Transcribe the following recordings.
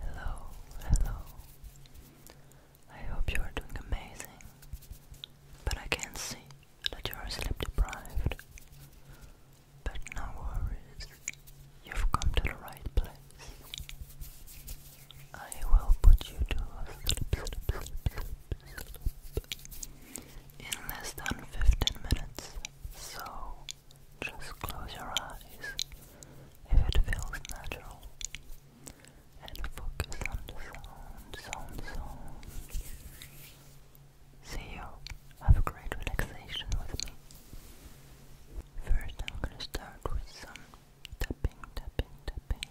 Hello, hello. I hope you are doing amazing, but I can see that you are sleep deprived. But no worries, you've come to the right place. I will put you to sleep in less than 15 minutes. So just close your eyes if it feels natural and focus on the sound, sound, sound. See you. Have a great relaxation with me. First, I'm gonna start with some tapping, tapping, tapping.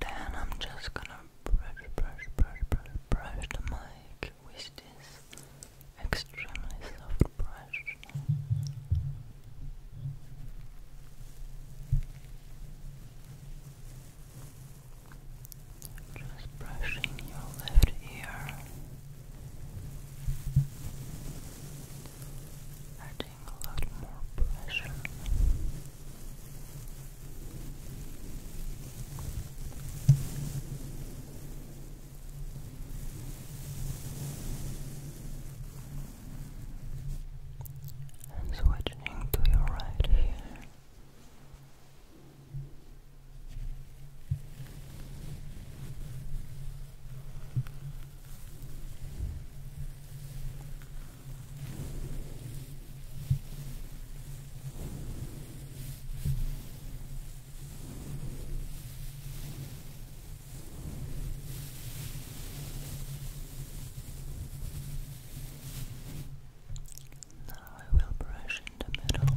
Then I'm just gonna brush, brush, brush, brush, brush the mic with this extremely soft brush. Just brushing your left ear, adding a lot more pressure. And switching to your right here. Now I will brush in the middle.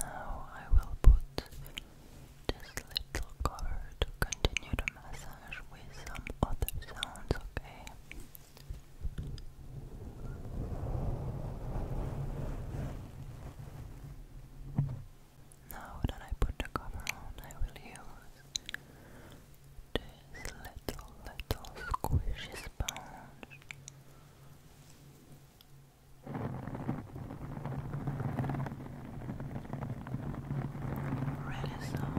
Now I will put this little cover to continue the massage with some other sounds, okay? Now that I put the cover on, I will use this little, little squishy sponge Red is soft.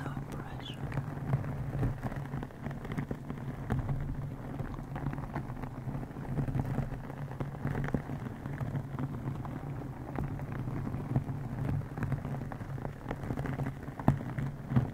No pressure.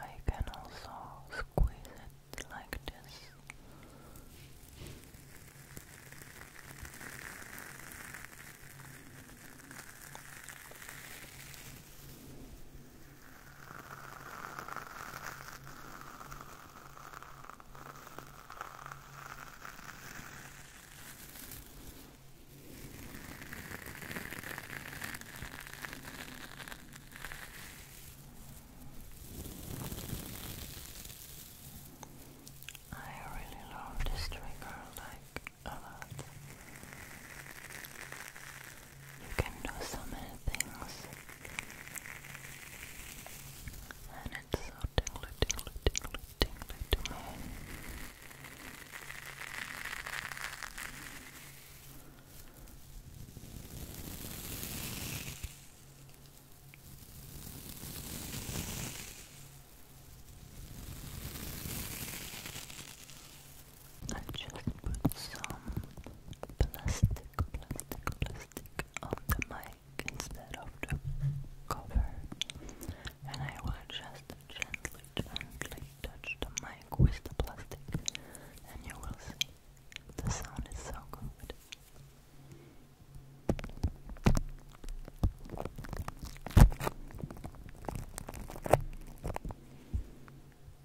I can also squeeze it like this. I really love this trigger like a lot. You can do so many things. And it's so tingly, tingly, tingly, tingly I just put some plastic, plastic, plastic on the mic instead of the cover, and I will just gently, gently touch the mic with the plastic, and you will see the sound is so good.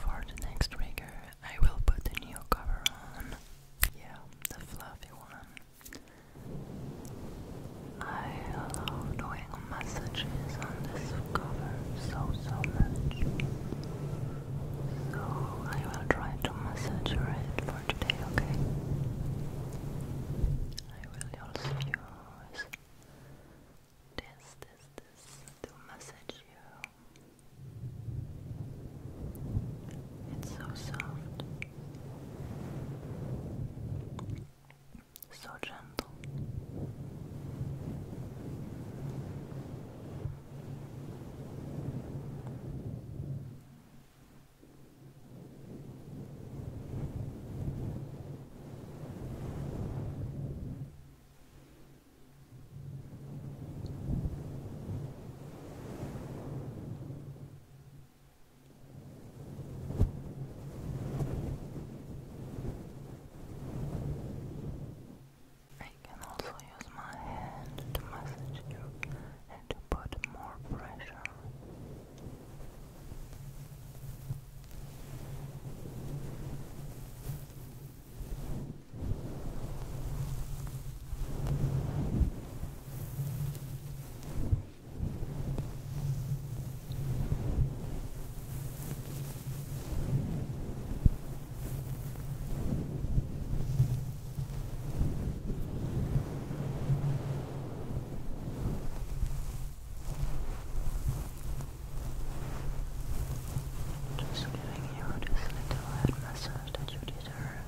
For the next trigger, I will put the new cover on. Yeah, the fluffy one. I love doing messages on this cover so, so much. So I will try to massage your for today, okay? I will also use this, this, this to massage you. It's so soft so gentle. I can also use my hand to massage you and to put more pressure. Just giving you this little head massage that you deserve.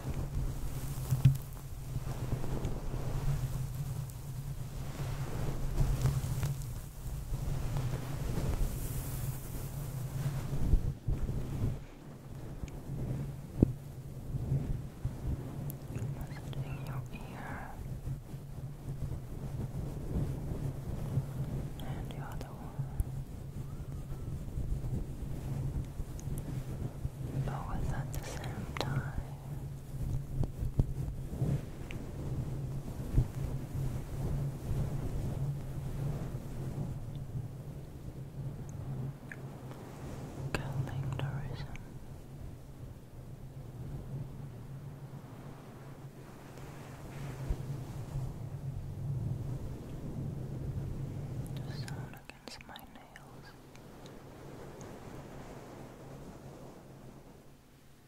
Just in your ear and the other one, both at the same time. Calendarism. The sound against my nails.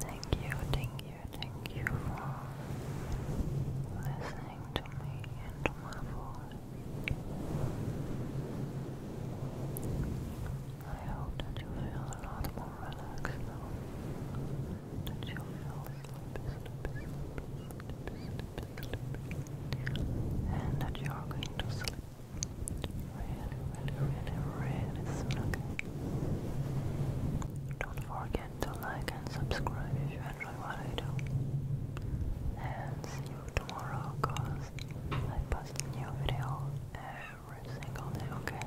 Thank you, thank you, thank you for listening to me and my voice. I hope that you feel a lot more relaxed now. you feel sleepy, sleepy, sleepy, sleepy, sleepy, sleepy, and that you are going to sleep Really, really, really, really soon, Don't forget to like and subscribe if you enjoy what I do. And see you tomorrow, cause I post a new video every single day, okay?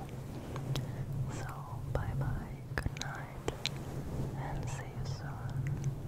So, bye bye, good night, and see you soon.